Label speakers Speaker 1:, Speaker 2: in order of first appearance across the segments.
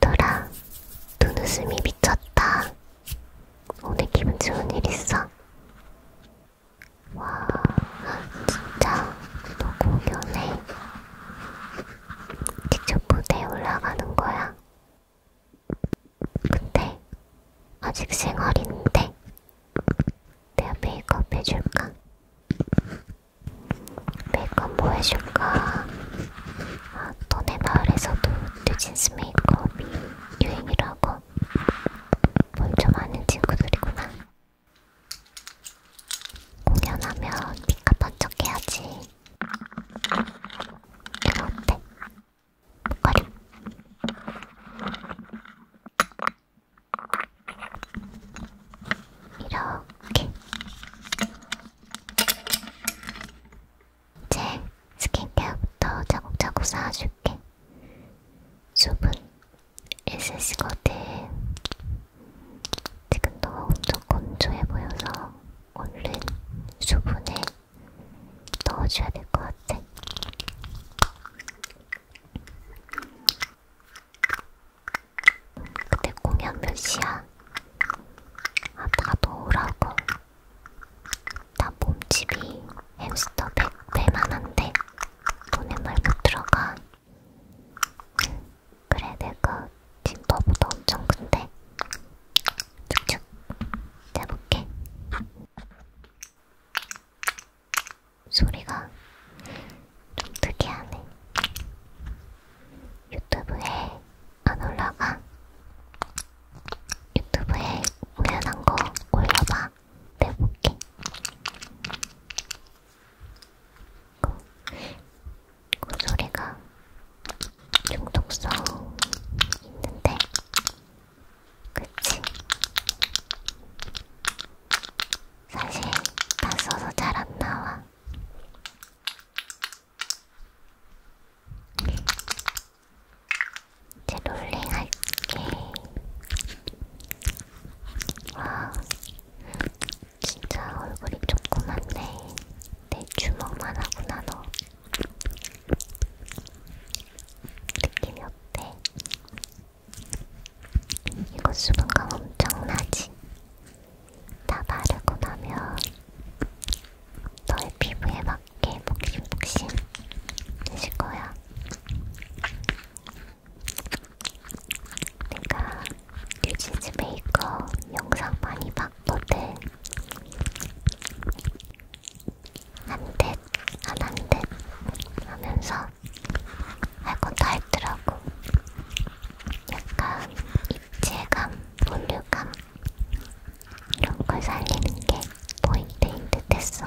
Speaker 1: 돌아, 눈웃음이 미쳤다. 오늘 기분 좋은 일 있어? 와, 진짜 너무 연해. 직접 무대에 올라가는 거야. 근데 아직 생얼인데 내가 메이크업 해줄까? 메이크업 뭐 해줄까? 아, 너네 마을에서도 뉴진스 메이크업이 유행이라고? 뭘좀 아는 친구들이구나. 공연하면 빛가 번쩍해야지. 이거 어때? 목걸이. 이렇게 이제 스킨케어부터 자국자국 쌓아줄게. 수분 1cm거든. 지금 너가 엄청 건조해 보여서 얼른 수분에 넣어줘야 될 것 같아. 그때 공연 몇 시야? 아, 다도 오라고. 나 몸집이 햄스터 100배만 한데 돈에 말못 들어가. 그래, 내가 지금 너보다 엄청 큰데. 쭉쭉 잡볼게 소리가 좀 특이하네. 유튜브에 안 올라가? 유튜브에 우연한 거 올려봐. 내볼게. 그, 그 소리가 중독성 있는데, 그치? 사실 다 써서 잘 안 나와. 이제 롤링 할게. 와, 진짜 얼굴이 조그맣네. 내 주먹만 하구나, 너. 느낌이 어때? 이거 수분감 엄청나지? 다 바르고 나면 너의 피부에 맞게 복싱복싱 되실 거야. 내가 뉴지즈 메이커 영상 많이 봤거든. 안돼, 안한데 하면서 할건다 했더라고. 약간 입체감, 볼륨감 이런 걸 살리는 게 포인트인 듯했어.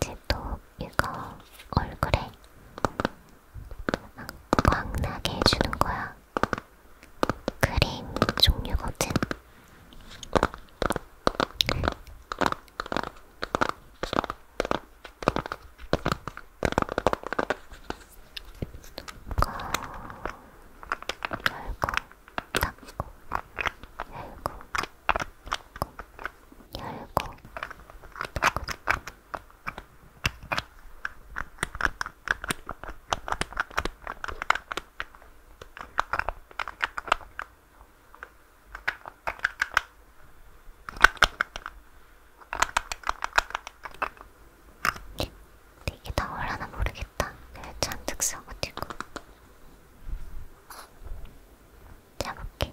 Speaker 1: 제또 이거 얼굴에 광나게 해주는 거야. 크림 종류거든. 이거 어, 열고 닫고 열고 닫고 열고 되게 네, 나올라나 모르겠다. 잔뜩 써가지고. 잡을게.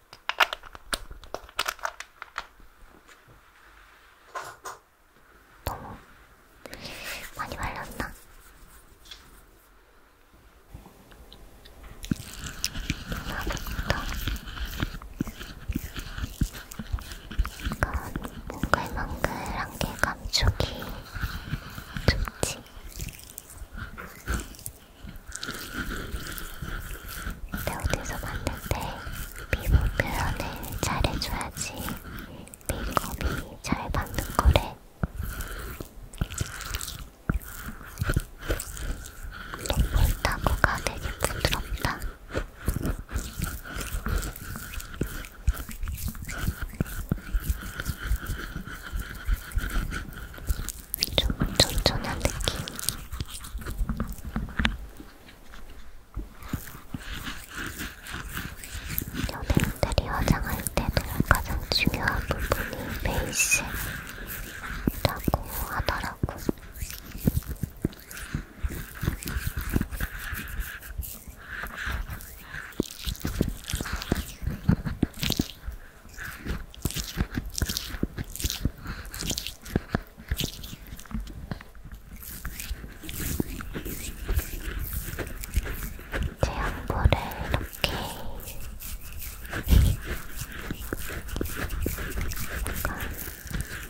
Speaker 1: 너무 많이 말렸나? 이건 몽글몽글한 게 감촉이 좋지. 근데 어디서 봤는데 피부 표현을 잘해줘야지 메이크업이 잘 받는 거래. 물타고가 되게 부드럽다. 조금 쫀쫀한 느낌. 연예인들이 화장할 때도 가장 중요한 부분이 베이스라고 하더라고. 제 안부를 이렇게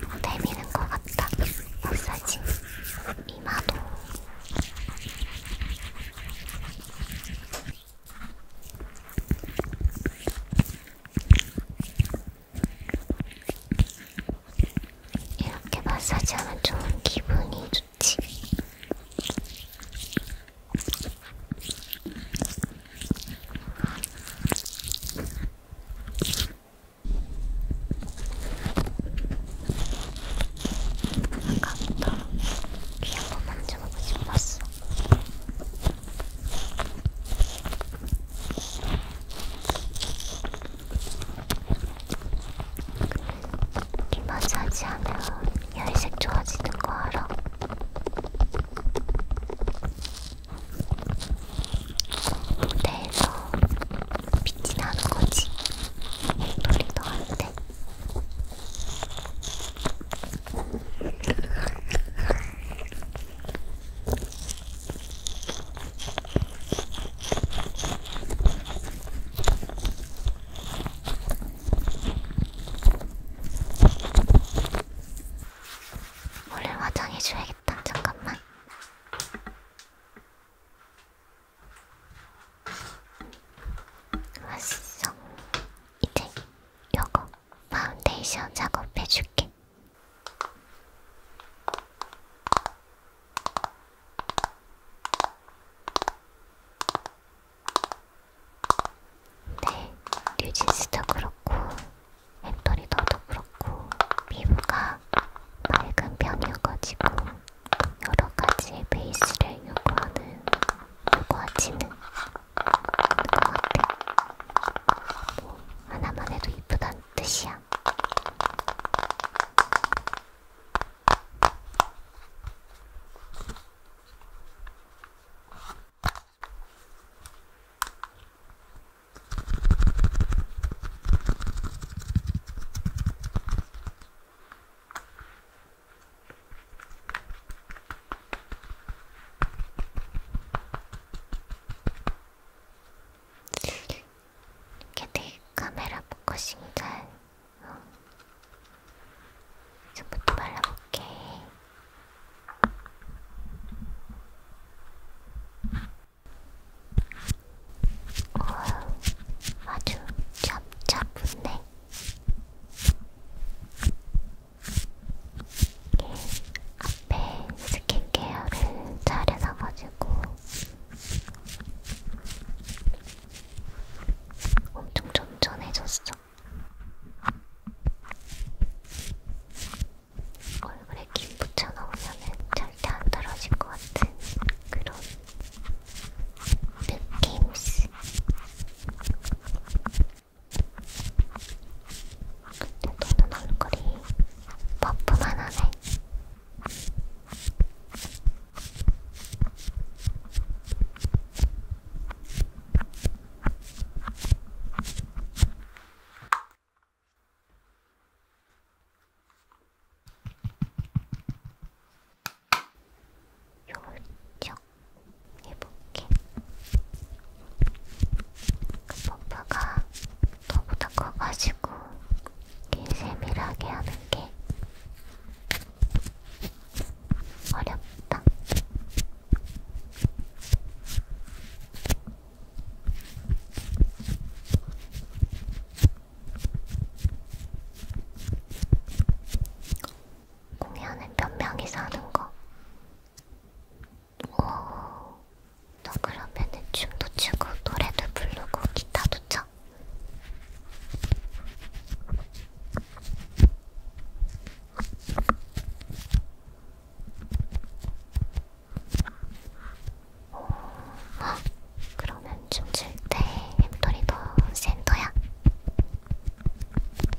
Speaker 1: 뭔가 데미는 것 같다. 마사지 이마도 이렇게 마사지하면 좋은 기분이 좋지. 아까부터 귀한 번 만져보고 싶었어. 이마지 하지 않으면 열색 좋아지는 거 알아? 무대에서 빛이 나는 거지. 놀이도 안 돼. 원래 화장해줘야겠다. 잠깐만. 왔어. 이제 여거 파운데이션 작업해줄게. 네, 뉴진스도 그렇고 햄토리 너도 그렇고 피부가 맑은 편이어가지고 여러 가지 베이스를 요구하는 요구하지는 뭐 하나만 해도 이쁘단 뜻이야. 이렇게 내 카메라 포커싱 잘 어. 이제부터 발라볼게. 어, 아주 잡잡붙네. 앞에 스킨케어를 잘 해서가지고 엄청 쫀쫀해졌어. 얼굴에 김 붙여넣으면 절대 안 떨어질 것 같은 그런 느낌스. 근데 너는 얼굴이 버프만 하네. 요청 해볼게. 그 펌프가 너보다 커가지고 길 세밀하게 하는 게 어렵다. 공연을 몇 명이서 하는 거. 오, 너 그러면은 춤도 추고 노래도 부르고 기타도 쳐? 오, 어? 그러면 춤 출 때 햄돌이 더 센터야?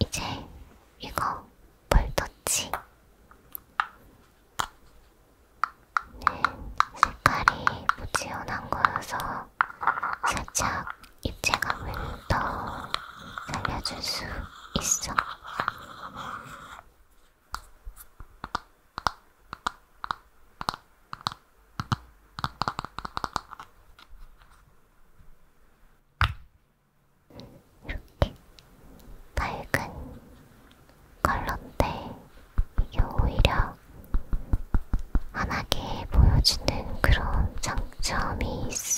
Speaker 1: 이제 이거 볼터치 네, 색깔이 부지런한 거여서 살짝 입체감을더 살려줄 수 있어. 이렇게 밝은 컬러인데 이게 오히려 환하게 보여주는 그런 장점이 있어.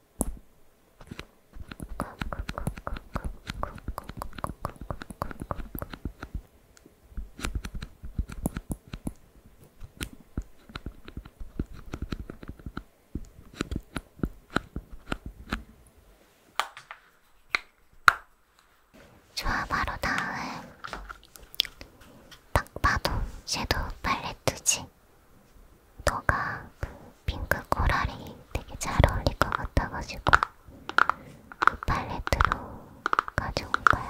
Speaker 1: 좋아, 바로 다음. 딱 봐도 섀도우 팔레트지. 너가 그 핑크 코랄이 되게 잘 어울릴 것 같아가지고 그 팔레트로 가져온 거야.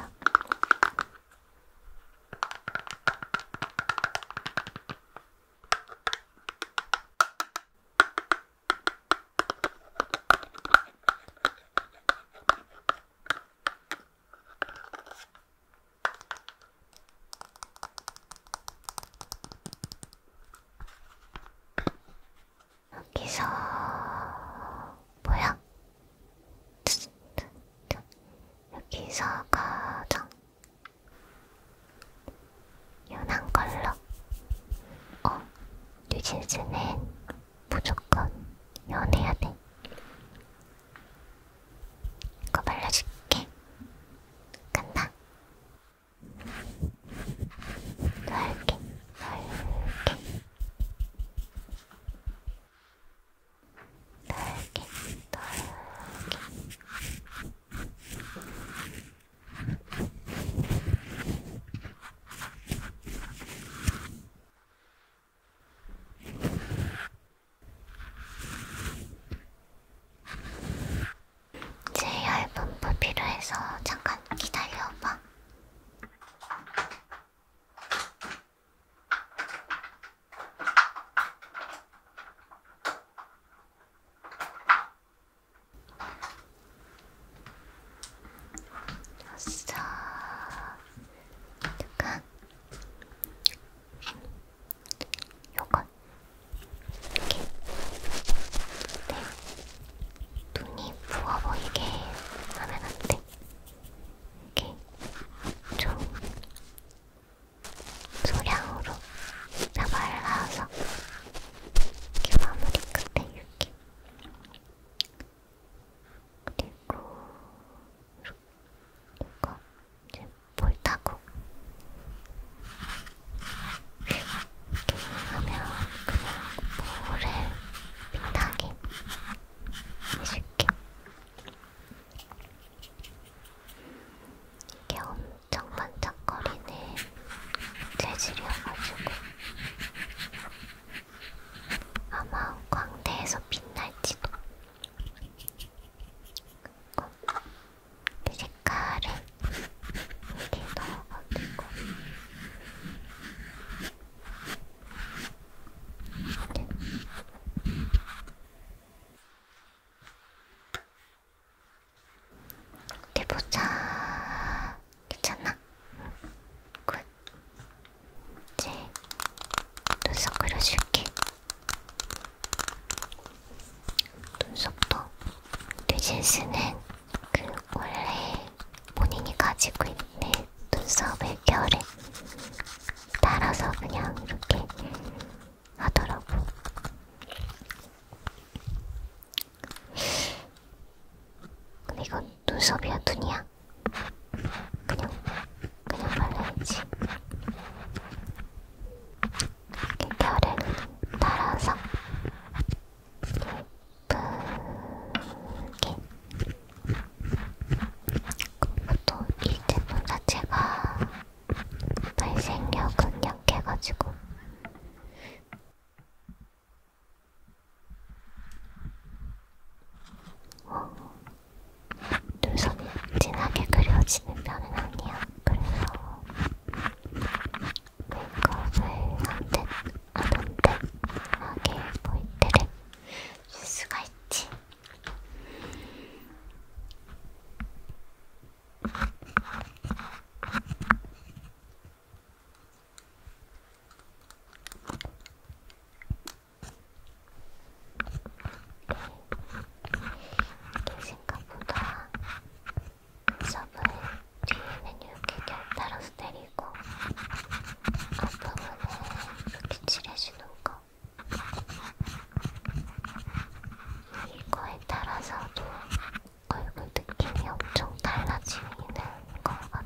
Speaker 1: 여기서 뭐야? 여기서 가장 연한 걸로. 어, 뉴진스는 무조건 연해야 돼. 이거 발라줄게. 간다. 넓게, 넓게. 넓게, 넓게. 제일 얇은 부 필요해서 잠깐 기다려봐. 아싸. 잠깐 요건 이렇게 네. 눈이 부어 보이게 하면 안 돼. 이렇게 좀 소량으로 자발을 넣어서 이렇게 마무리 끝에 이렇게 그리고 이렇게 이거 이제 볼 타고 이렇게 하면 그냥 볼을 빛나게 해줄게. 이게 엄청 반짝거리는 재질이어가지고 아마 광대에서 빛날지도. 그 색깔을 이렇게 넣어가지고 어디 보자. 괜찮나? 굿. 이제 눈썹 그려줄게. 눈썹도 뉴진스는 그 원래 본인이 가지고 있는 눈썹의 결에 따라서 그냥 이렇게 하더라고. 근데 이건 눈썹이야, 눈이야? 그냥 그냥 발라야지. 겨울에 따라서 예쁘게 또이 제품 자체가 발색력은 약해가지고 어, 눈썹이 진하게 그려지는 편은 아니야. 그래서 메이크업을 안된 안된 하게 보일 때를 쓸 수가 있지. 계신가 보다. 접을 뒤에는 이렇게 결타로 때리고 앞부분은 이렇게 칠해주는 거. 이거에 따라서도 얼굴 느낌이 엄청 달라지는 것 같아.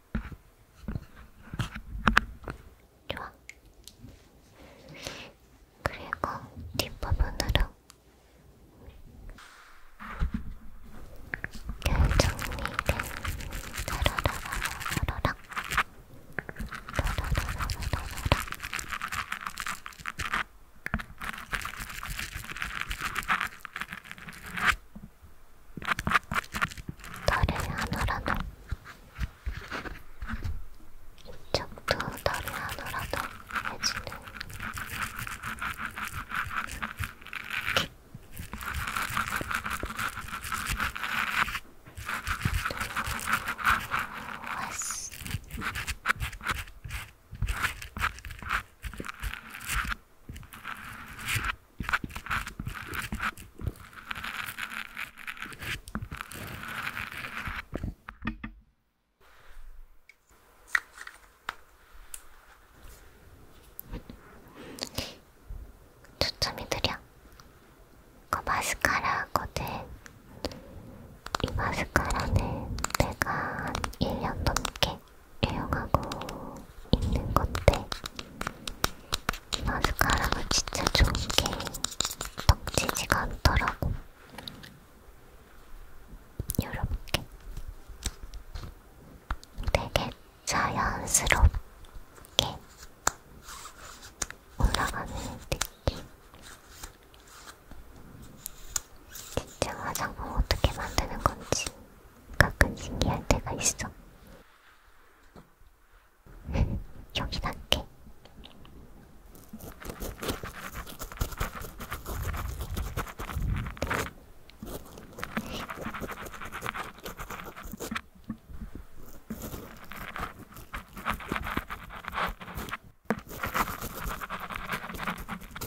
Speaker 1: 좋아. 그리고 뒷부분으로 결정리를 따라라라라라라 따라라라라라라 다리 하나라도 이쪽도 다리 하나라도 해주는 왔어 초점이 느려. 그 마스카라거든. 이 마스카라는 내가 한 1년 넘게 애용하고 있는 건데 마스카라가 진짜 좋은 게 덕지지가 않더라고. 이렇게 되게 자연스럽게 올라가는 느낌. 진짜 화장품 어떻게 만드는 건지 가끔 신기할 때가 있어. 여기 갈게.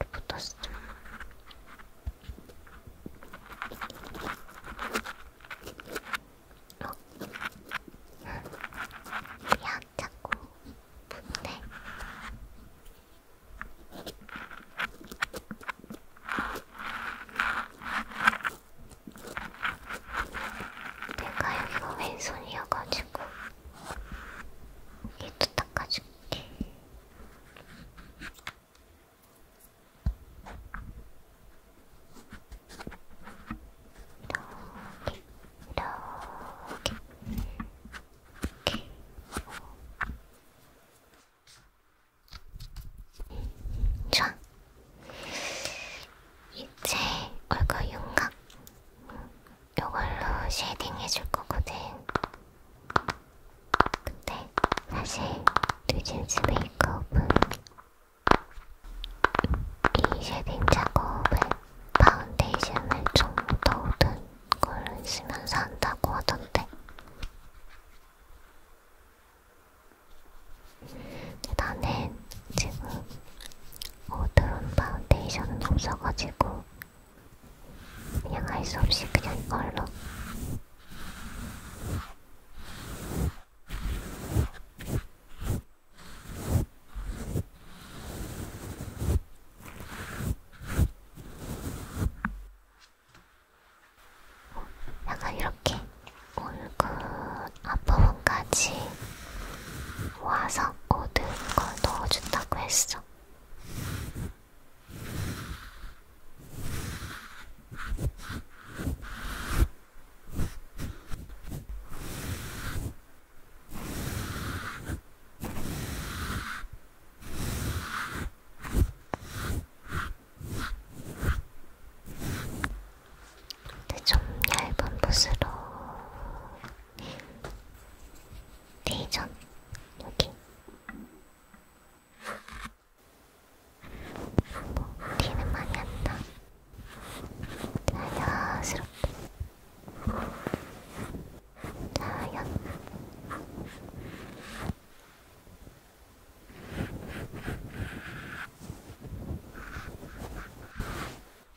Speaker 1: 이렇게 붙었어. 어? 야, 자꾸 붙네. 내가 여기가 왼손이어가지고 이도 닦아줄 좋아. 이제 얼굴 윤곽 요걸로 쉐딩 해줄 거거든. 근데 사실 뉴진스 메이크업은 이 쉐딩 작업은 파운데이션을 좀더 묻은 걸로 쓰면서 한다고 하던데. 나는 지금 오드론 파운데이션은 없어가지고 그냥 할 수 없이 그냥 이걸로 약간 이렇게 얼굴 앞부분까지 모아서 모든 걸 넣어준다고 했어. 근데 네, 좀 얇은 붓으로 대전 여기 뭐 뒤는 많이 안다 자연스럽게 자연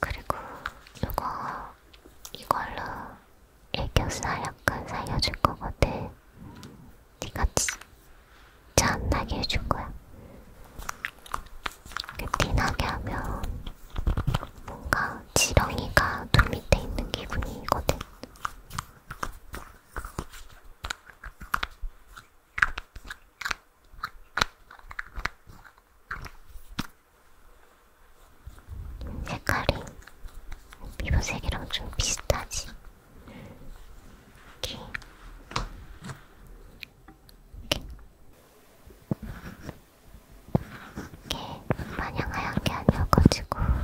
Speaker 1: 그리고 이거 이걸로 애교살 약간 살려줄 거거든. 네가 진짜 안 나게 해줄 거야. 티 나게 하면 뭔가 지렁이가 눈 밑에 있는 기분이거든. 색깔이 피부색이랑 좀 비슷하지? 이렇게. 이렇게. 이게 마냥 하얀 게 아니어가지고. 됐다.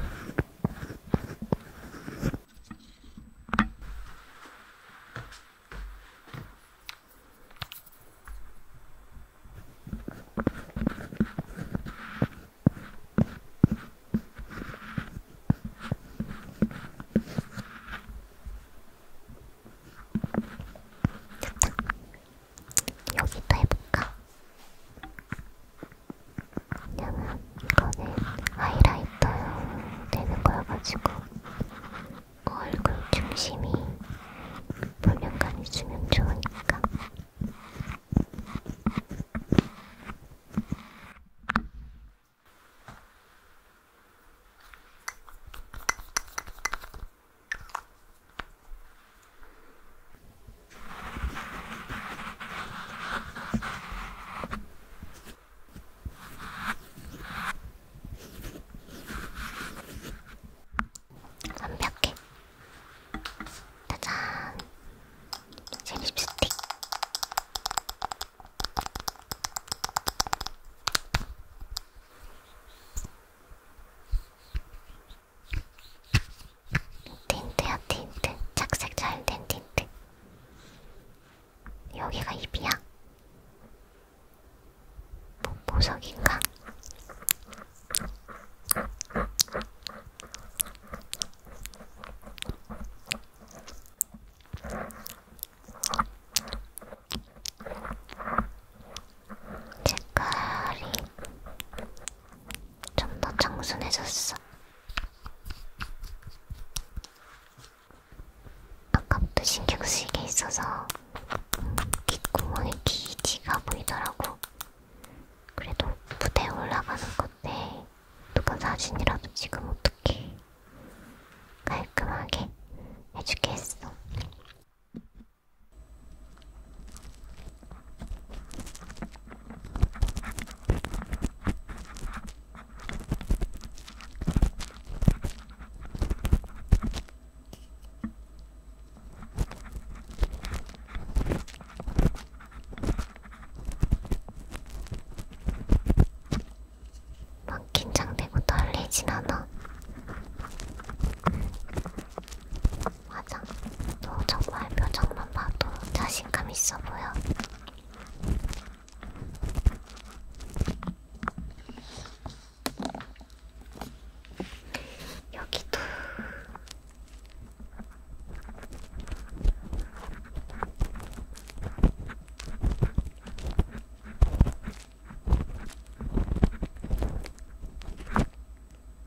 Speaker 1: 여기도 해볼까? 왜냐면 이거는 하이라이터 되는 거여가지고 그 얼굴 중심이 볼륨감 있으면 좋으니까. 완벽해. 짜잔. 제 립스틱. 틴트야 틴트 착색 잘된 틴트 여기가 입이야? 뭐, 보석인가? 색깔이 좀 더 청순해졌어. 아까부터 신경 쓰이게 있어서 귓구멍에 기지가 보이더라고. 그래도 무대에 올라가는 건데 누가 사진이라도 지금 어떻게 깔끔하게 해주게 했어. 막 긴장되고 떨리진 않아. 맞아. 너 정말 표정만 봐도 자신감 있어 보여. 여기도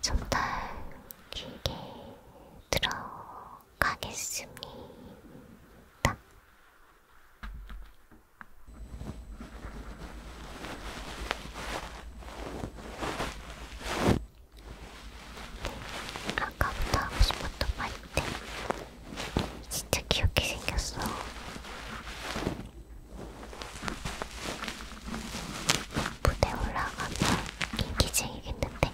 Speaker 1: 좀더 길게 들어가겠습니다. 아까부터 하고 싶었던 말인데 진짜 귀엽게 생겼어. 무대 올라가면 인기쟁이겠는데.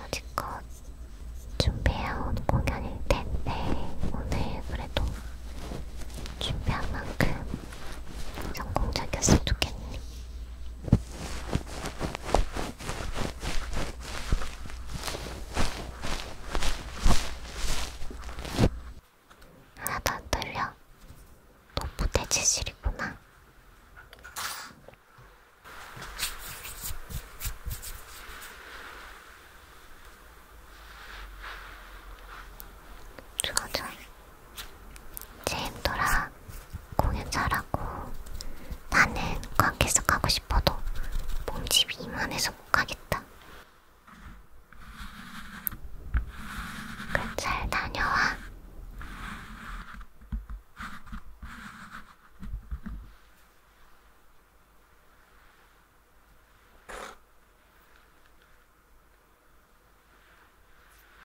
Speaker 1: 여지껏 준비해온 공연일 텐데 오늘 그래도 준비한 만큼 성공적이었으면 좋겠네. 하나 떨려. 너 부대지실이구나. 좋아, 좋아. 제임도랑 공연 잘하고 나는 관계석 가고 싶어도 몸집이 이만해서 못 가겠다. 그럼 잘 다녀와.